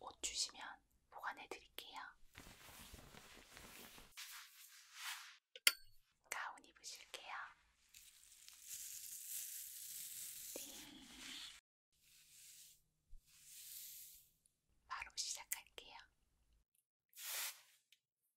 옷 주시면 보관해 드릴게요. 가운 입으실게요. 네. 바로 시작할게요.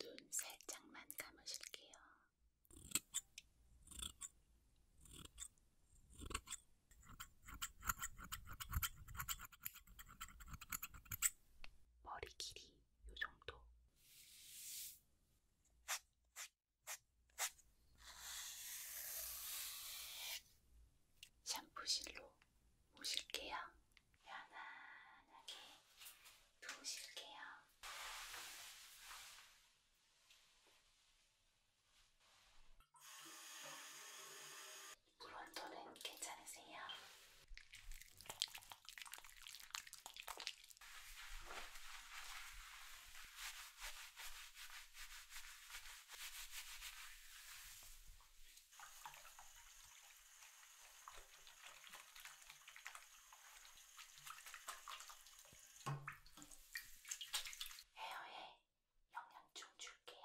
눈 살짝만 감으실게요. 머리 길이 요 정도. 샴푸실로 모실게요. 편안하게 누우실게요. 물온도는 괜찮으세요? 헤어에 영양 좀 줄게요.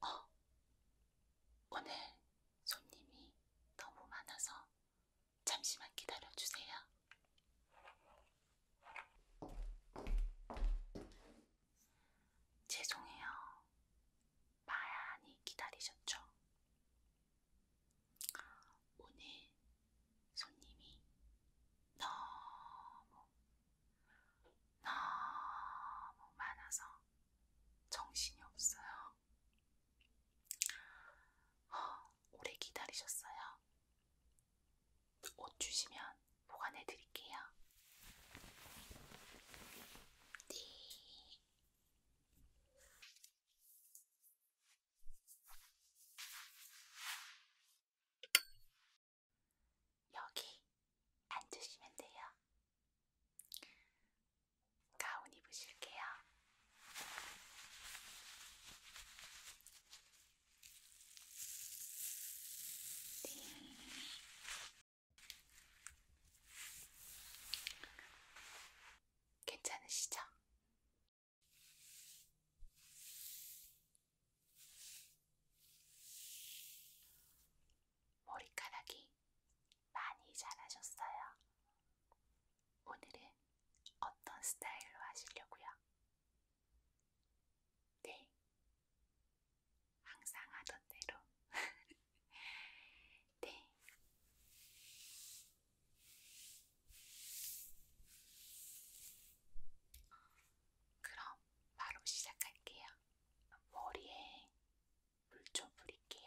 어, 오늘 손님이 너무 많아서 잠시만 기다려주세요. 죄송해요. 많이 기다리셨죠? 오늘 손님이 너무 너무 많아서 정신이 없어요. 어, 오래 기다리셨어요. 옷 주시면 보관해 드릴게요. 네. 여기 앉으시면 돼요. 가운 입으실게요. 네. 괜찮으시죠? 머리카락이 많이 자라셨어요. 오늘은 어떤 스타일로 하시려고요? 네. 항상 하던 대로. 네. 그럼 바로 시작할게요. 머리에 물좀 뿌릴게요.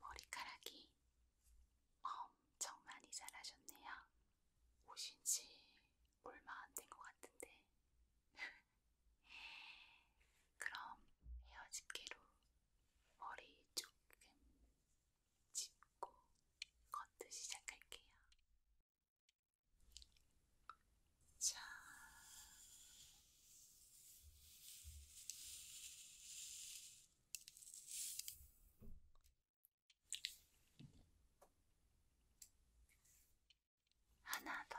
머리카락이 엄청 많이 자라셨네요. 오신 지 얼마 안 된 것 같은데. 그럼 헤어집게로 머리 조금 짚고 겉을 시작할게요. 자, 하나 더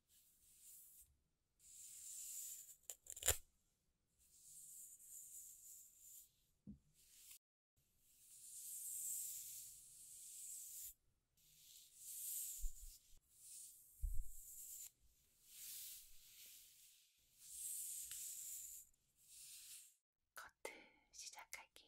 커트 시작할게요.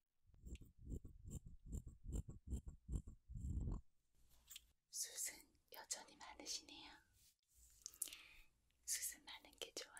숱은 여전히 많으시네요. 숱은 많은 게 좋아요.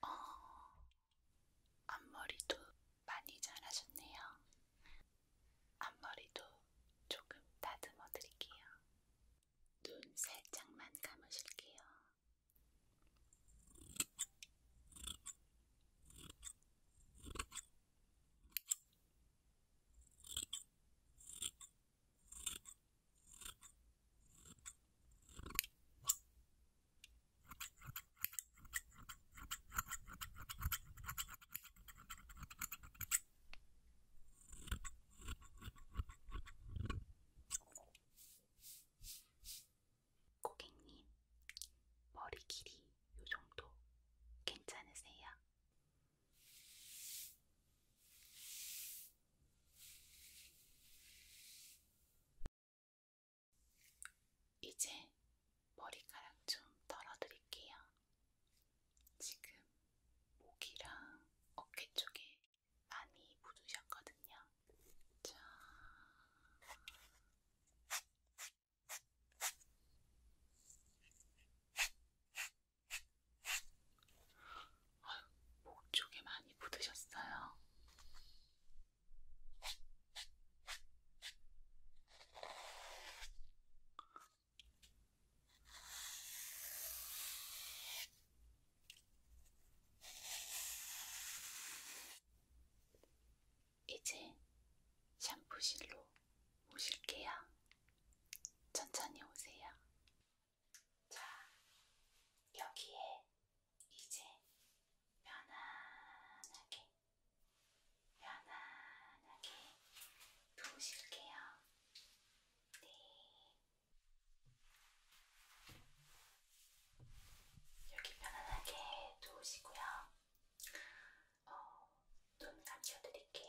어, 앞머리도 많이 잘하셨네요. 앞머리도 조금 다듬어 드릴게요. 눈 살짝만 감으실게요. 고객님, 머리 길이 요 정도 괜찮으세요? 이제 머리카락 좀 털어드릴게요. 지금 목이랑 어깨 쪽에 많이 묻으셨거든요. 자. 목 쪽에 많이 묻으셨어요. 이제 샴푸실로 오실게요. 천천히 오세요. 자, 여기에 이제 편안하게, 편안하게 누우실게요. 네. 여기 편안하게 누우시고요. 어, 눈 감춰드릴게요.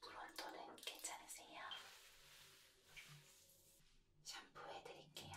브론토는 괜찮으세요? 샴푸 해드릴게요.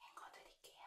헹궈 드릴게요.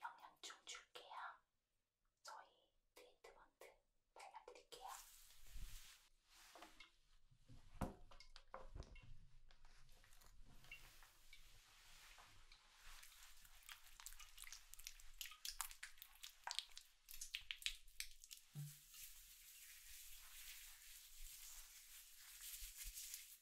영양충 줄게요. 저희 트리트먼트 발라드릴게요. 음.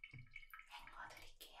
헹궈 드릴게요.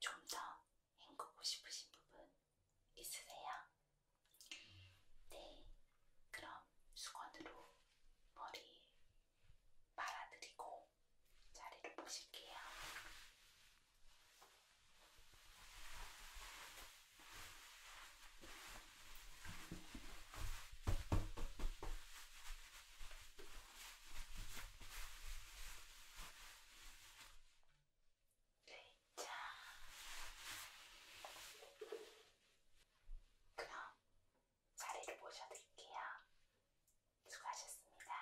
좀더 헹구고 싶으신 부분 있으세요? 네, 그럼 수건으로 머리 말아드리고 자리를 보실게요. 자, 그럼 자리를 모셔드릴게요. 수고하셨습니다.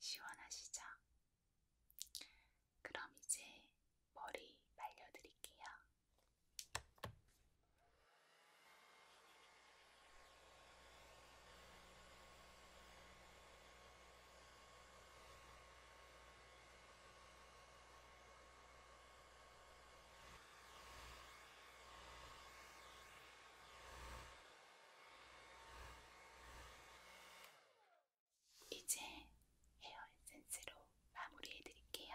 시원하시죠? 그럼 이제 머리 말려드릴게요. 이제 헤어 에센스로 마무리해 드릴게요.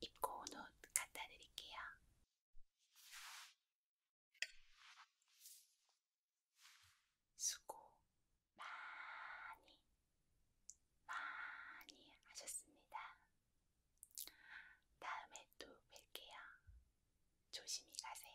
입고 온 옷 갖다 드릴게요. 수고 많이, 많이 하셨습니다. 다음에 또 뵐게요. 조심히 가세요.